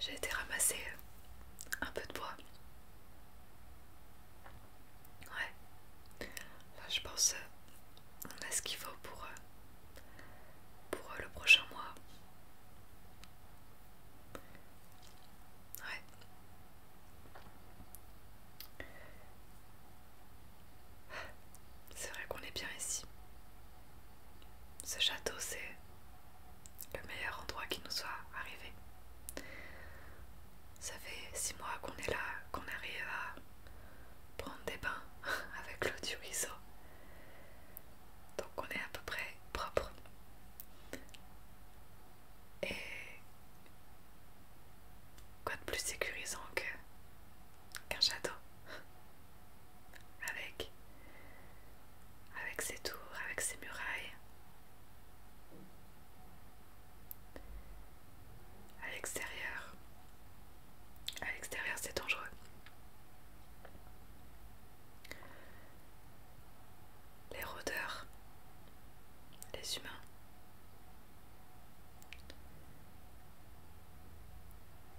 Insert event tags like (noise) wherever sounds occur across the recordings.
J'ai été ramasser euh, un peu de bois. Ouais. Là, je pense euh, on a ce qu'il faut pour, euh, pour le prochain mois. Ouais. C'est vrai qu'on est bien ici. Ce château, c'est le meilleur endroit qui nous soit arrivé. Ça fait six mois qu'on est là, qu'on arrive à prendre des bains (laughs) avec l'eau du ruisseau. Donc on est à peu près propre. Et quoi de plus sécurisant qu'un château avec, avec ses tours, avec ses murailles, à l'extérieur. À l'extérieur, c'est dangereux. Les rôdeurs, les humains.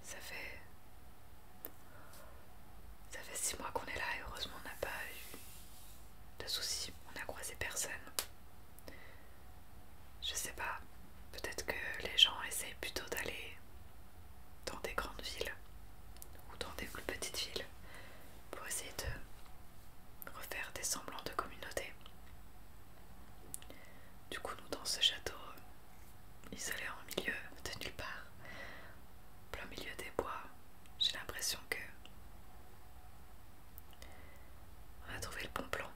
Ça fait ça fait 6 mois qu'on est là et heureusement on n'a pas eu de soucis, on n'a croisé personne. Je sais pas, peut-être que les gens essayent plutôt d'aller dans des grandes villes ou dans des plus petites villes pour essayer de refaire des semblants de communauté. Du coup, nous dans ce château, ils en milieu de nulle part, plein milieu des bois. J'ai l'impression que on a trouvé le bon plan.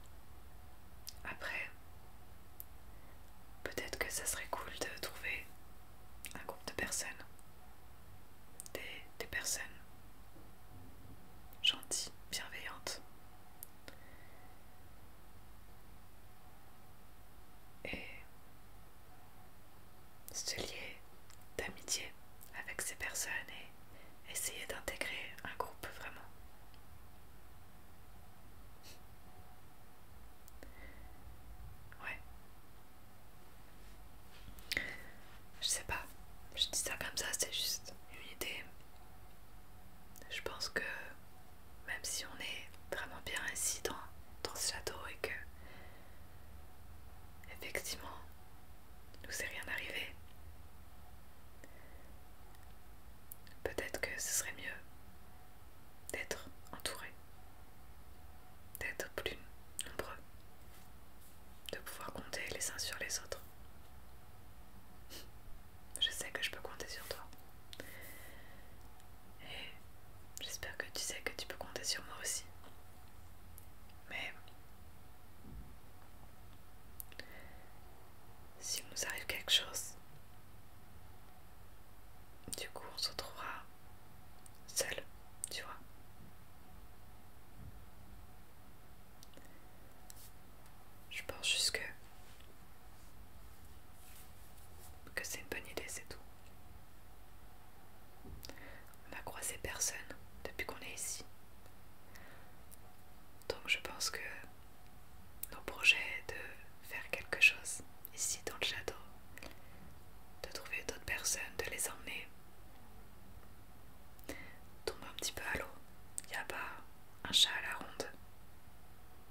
Après, peut-être que ça serait cool de trouver un groupe de personnes, des, des personnes gentilles, bienveillantes, et se lier d'amitié avec ces personnes et essayer d'intégrer un groupe vraiment. Ouais. Je sais pas, je dis ça comme ça, c'est juste une idée. Je pense que même si on est vraiment bien ici dans, ce château et que effectivement nous c'est rien arrivé peut-être que ce serait mieux d'être entouré d'être plus nombreux de pouvoir compter les uns sur les autres je sais que je peux compter sur toi. Et j'espère que tu sais que tu peux compter sur moi aussi. Mais s'il nous arrive quelque chose, du coup on se retrouvera seul, tu vois. Je pense juste que que c'est une bonne idée, c'est tout. On n'a croisé personne depuis qu'on est ici. Donc je pense que nos projets de faire quelque chose ici dans le château, de trouver d'autres personnes, de les emmener, tombe un petit peu à l'eau. Il n'y a pas un chat à la ronde.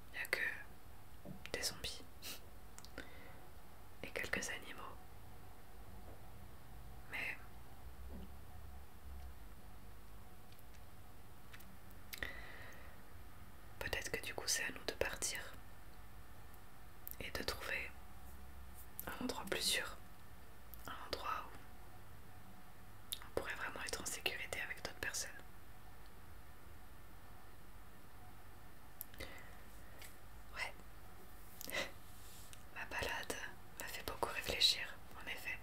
Il n'y a que des zombies et quelques animaux. Mais peut-être que du coup c'est à nous de partir et de trouver un endroit plus sûr, un endroit où on pourrait vraiment être en sécurité avec d'autres personnes. Ouais. Ma balade m'a fait beaucoup réfléchir, en effet.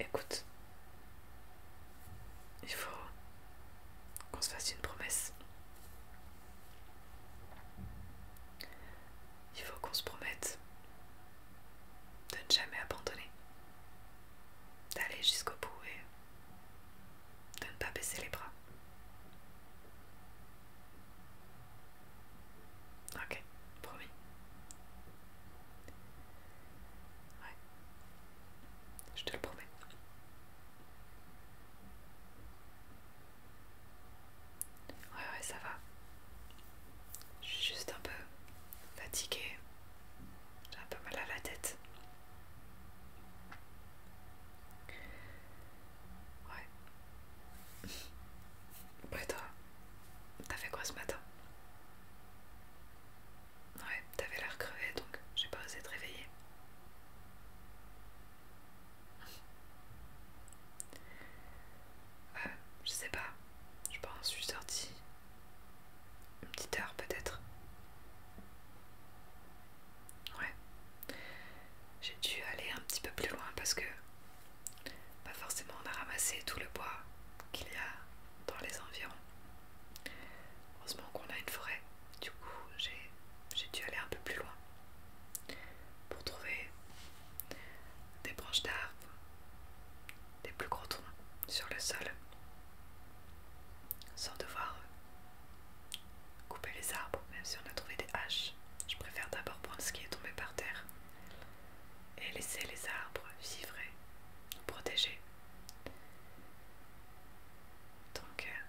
Écoute, il faut qu'on se fasse une promesse il faut qu'on se promette de ne jamais abandonner, d'aller jusqu'au bout et de ne pas baisser les bras. Ok, promis. Ouais, je te le promets. Ouais, ouais, ça va. Je suis juste un peu fatiguée. J'ai un peu mal à la tête. Ouais. Bon, (laughs) toi T'as fait quoi ce matin Ouais, t'avais l'air crevé donc j'ai pas osé te réveiller ouais je sais pas. Je pense, je suis sortie une petite heure peut-être. Ouais. J'ai dû aller un petit peu plus loin parce que pas forcément on a ramassé tout le bois qu'il y a dans les environs. Heureusement qu'on a une forêt. Du coup j'ai dû aller un peu plus loin pour trouver des branches d'arbres, des plus gros troncs sur le sol, sans devoir couper les arbres, même si on a trouvé des haches. Je préfère d'abord prendre ce qui est tombé par terre et laisser les arbres vivre et protéger. Donc, euh,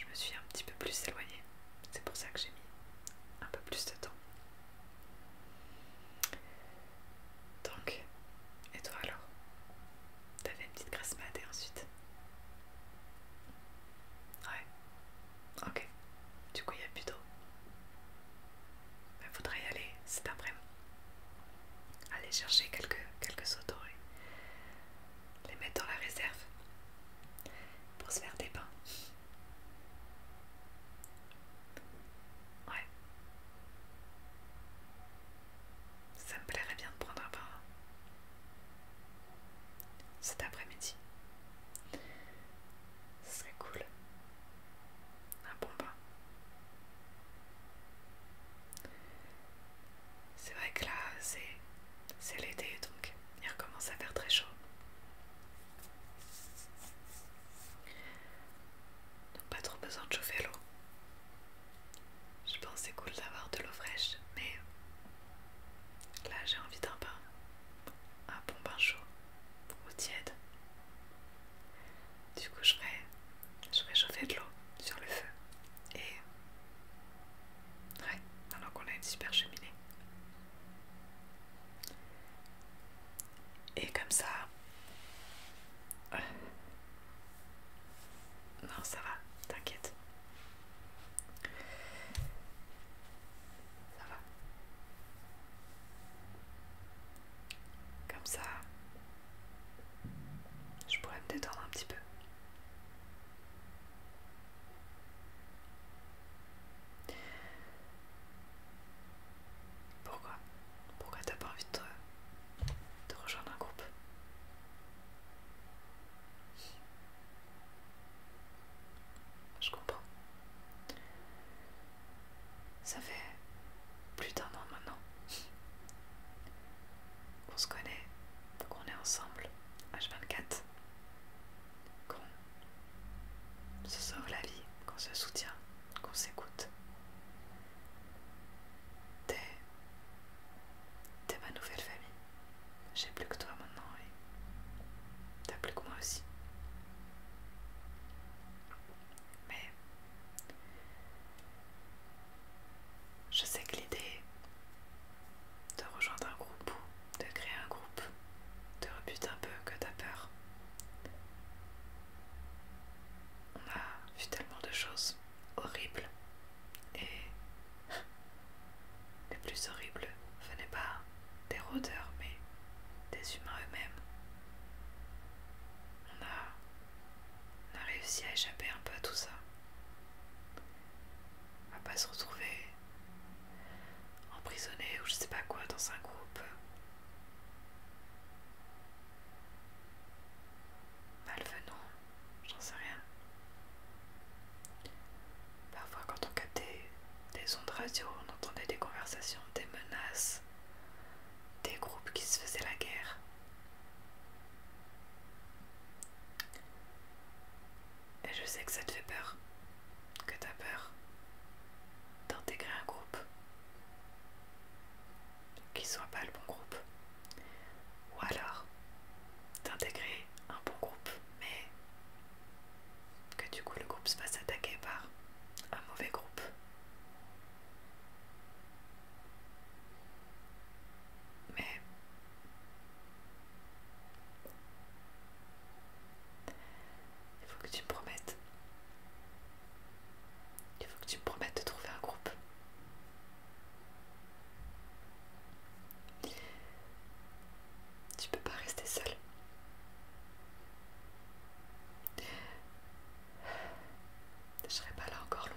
je me suis un petit peu plus éloignée. C'est pour ça que j'ai mis un peu plus de temps. Donc, et toi alors T'as une petite grasse ensuite Ouais. Ok. Du coup, il y a plus d'eau. Il ben, faudrait y aller cet après-midi. Aller chercher quelques, quelques les mettre dans la réserve pour se faire des pains. Ouais. Ça me plairait bien de prendre un pain cet après-midi. Ce serait cool. Un bon pain. C'est vrai que là, c'est l'été donc il recommence à faire très chaud. Donc pas trop besoin de chauffer l'eau. Je pense que c'est cool d'avoir de l'eau fraîche, mais là j'ai envie d'un bain. Un bon bain chaud ou tiède. Du coup je vais chauffer de l'eau sur le feu. Et... Ouais, maintenant qu'on a une super cheminée. Et comme ça... Euh, non, ça va, t'inquiète. Ça va. Comme ça, je pourrais me détendre un petit peu. Pourquoi Pourquoi t'as pas envie de, de rejoindre un groupe Je comprends. Ça fait plus d'un an maintenant qu'on se connaît, qu'on est ensemble, H24 qu'on se sauve la vie, qu'on se soutient, qu'on s'écoute. T'es ma nouvelle famille. J'ai plus que toi maintenant et t'as plus que moi aussi. Mais je sais que l'idée de rejoindre un groupe ou de créer un groupe te rebute un peu, que t'as peur. On a vu tellement de choses horribles et (laughs) les plus horribles venaient pas des rôdeurs mais des humains eux-mêmes. On a, réussi à échapper un peu à tout ça, à pas se retrouver emprisonné ou je sais pas quoi dans un groupe malvenant, j'en sais rien. Parfois quand on captait des ondes radio, on entendait des conversations, des menaces, des groupes qui se faisaient la guerre. Et je sais que ça te fait peur, que tu as peur d'intégrer un groupe qui soit pas le bon groupe. Ou alors d'intégrer un bon groupe, mais que du coup le groupe se fasse attaquer par un mauvais groupe. Mais il faut que tu me promettes. Il faut que tu me promettes de trouver un groupe. Tu peux pas rester seule. Je serai pas là encore longtemps.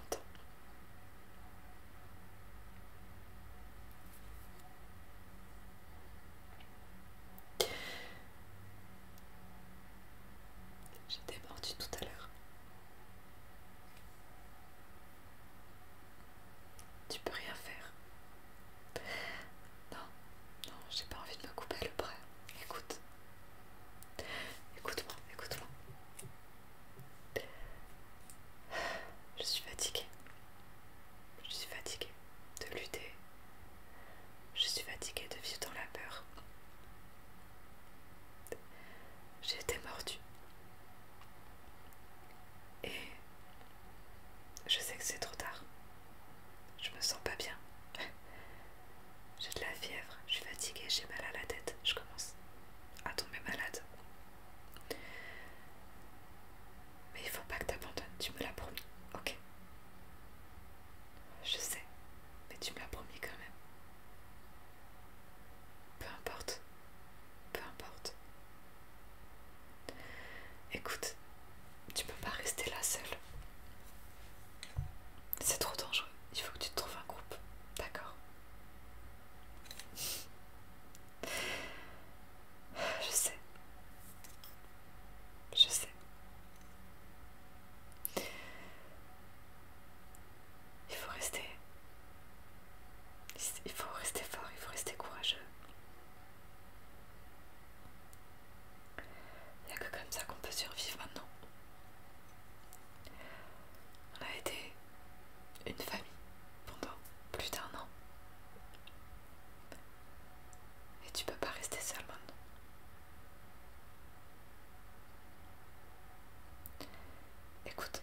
J'étais mordue tout à l'heure. Tu peux rien faire. Non, non, j'ai pas envie de me couper le bras. Écoute. Écoute-moi, écoute-moi. Je suis fatiguée. Je suis fatiguée de lutter. Je suis fatiguée de vivre dans la peur. J'ai été mordue. Et je sais que c'est trop tard. Je me sens pas bien. J'ai de la fièvre, je suis fatiguée, j'ai mal à la tête. Je commence à tomber malade. Mais il faut pas que t'abandonnes, tu me l'as promis, ok Je sais, mais tu me l'as promis quand même. Peu importe, peu importe. Écoute, tu peux pas rester là seule. C'est trop dangereux, il faut que tu te trouves un groupe, d'accord je sais. Je sais. Il faut rester. Il faut rester fort, il faut rester courageux. Il n'y a que comme ça qu'on peut survivre maintenant. On a été une famille pendant plus d'un an. Et tu peux pas rester seul maintenant. Écoute,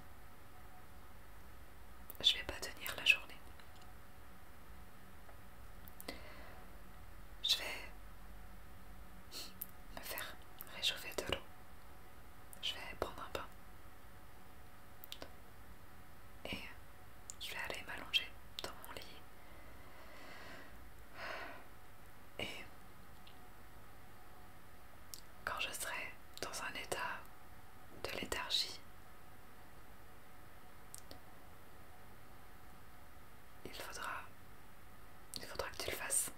je vais pas tenir la journée. Je vais me faire réchauffer de l'eau. Je vais prendre un bain. Et euh, je vais aller m'allonger dans mon lit. Et quand je serai dans un état de léthargie, il faudra, il faudra que tu le fasses.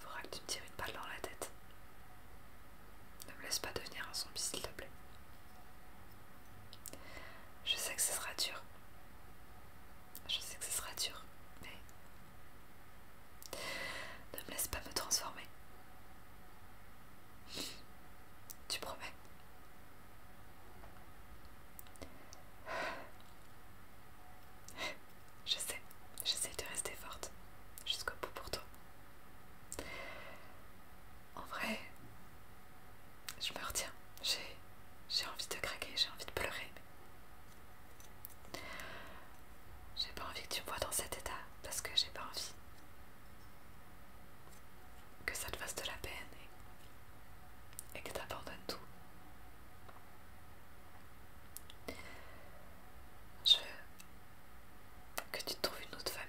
Faudra que tu me tires une balle dans la tête. Ne me laisse pas devenir un zombie, s'il te plaît. Je sais que ce sera dur. Je sais que ce sera dur, mais... Ne me laisse pas me transformer. Tu promets je sais, sais de rester forte jusqu'au bout pour toi. En vrai, je me retiens. J'ai envie de craquer, j'ai envie de pleurer. J'ai pas envie que tu me vois dans cet état parce que j'ai pas envie que ça te fasse de la peine et, et que t'abandonnes tout je veux que tu trouves une autre famille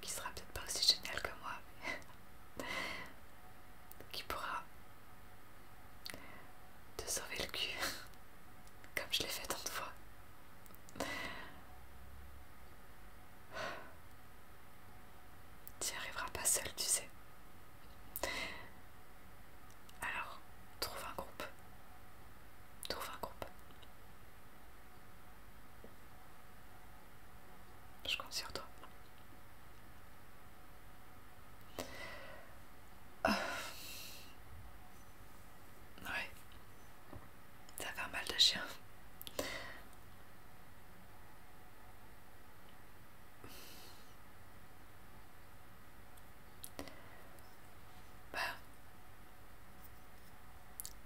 qui sera peut-être pas aussi géniale que moi, qui pourra te sauver le cul comme je l'ai fait tant de fois. Tu n'y arriveras pas seul, tu sais. Alors, trouve un groupe. Trouve un groupe. Je compte sur toi. Ah. Ouais. Ça fait un mal de chien. Bah,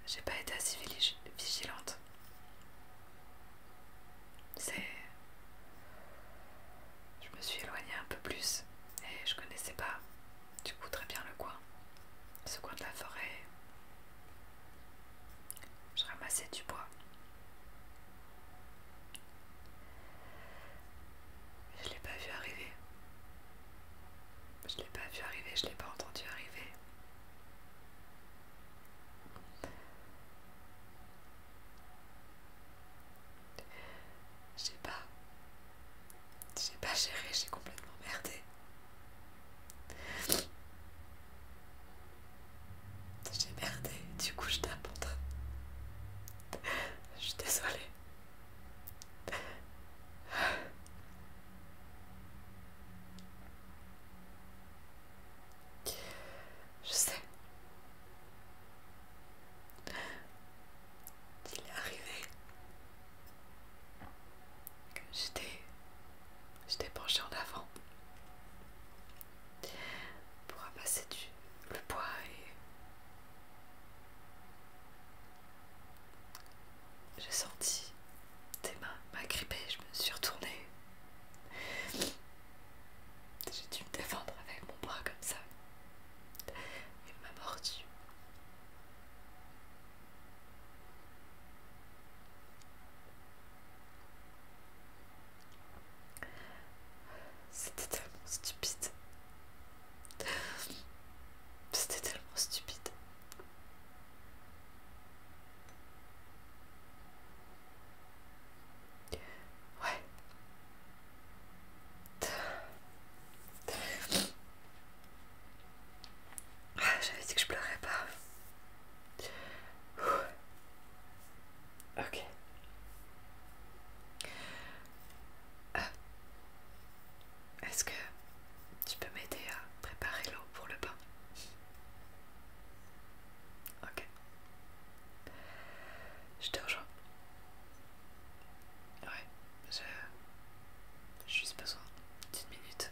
j'ai pas été assez vigilante. C'est. Je me suis éloignée un peu plus et je connaissais pas du coup très bien le coin. Ce coin de la forêt. Je ramassais du bois je l'ai pas vu arriver. Je l'ai pas vu arriver, je l'ai pas entendu arriver. sais pas. J'ai pas géré, j'ai complètement merdé. J'ai merdé, du coup je tape Je suis désolée. Je sais. Il est arrivé que j'étais penché en avant pour ramasser du, le bois et j'ai senti tes mains m'agripper, je me suis retournée. J'ai dû me défendre avec mon bras comme ça. Il m'a mordu. C'était tellement stupide. C'était tellement stupide. Ouais. Ah, j'avais dit que je pleurais pas. Ok. Euh, est-ce que tu peux m'aider à préparer l'eau pour le bain Ok. Je te rejoins. Ouais, je... J'ai juste besoin d'une minute.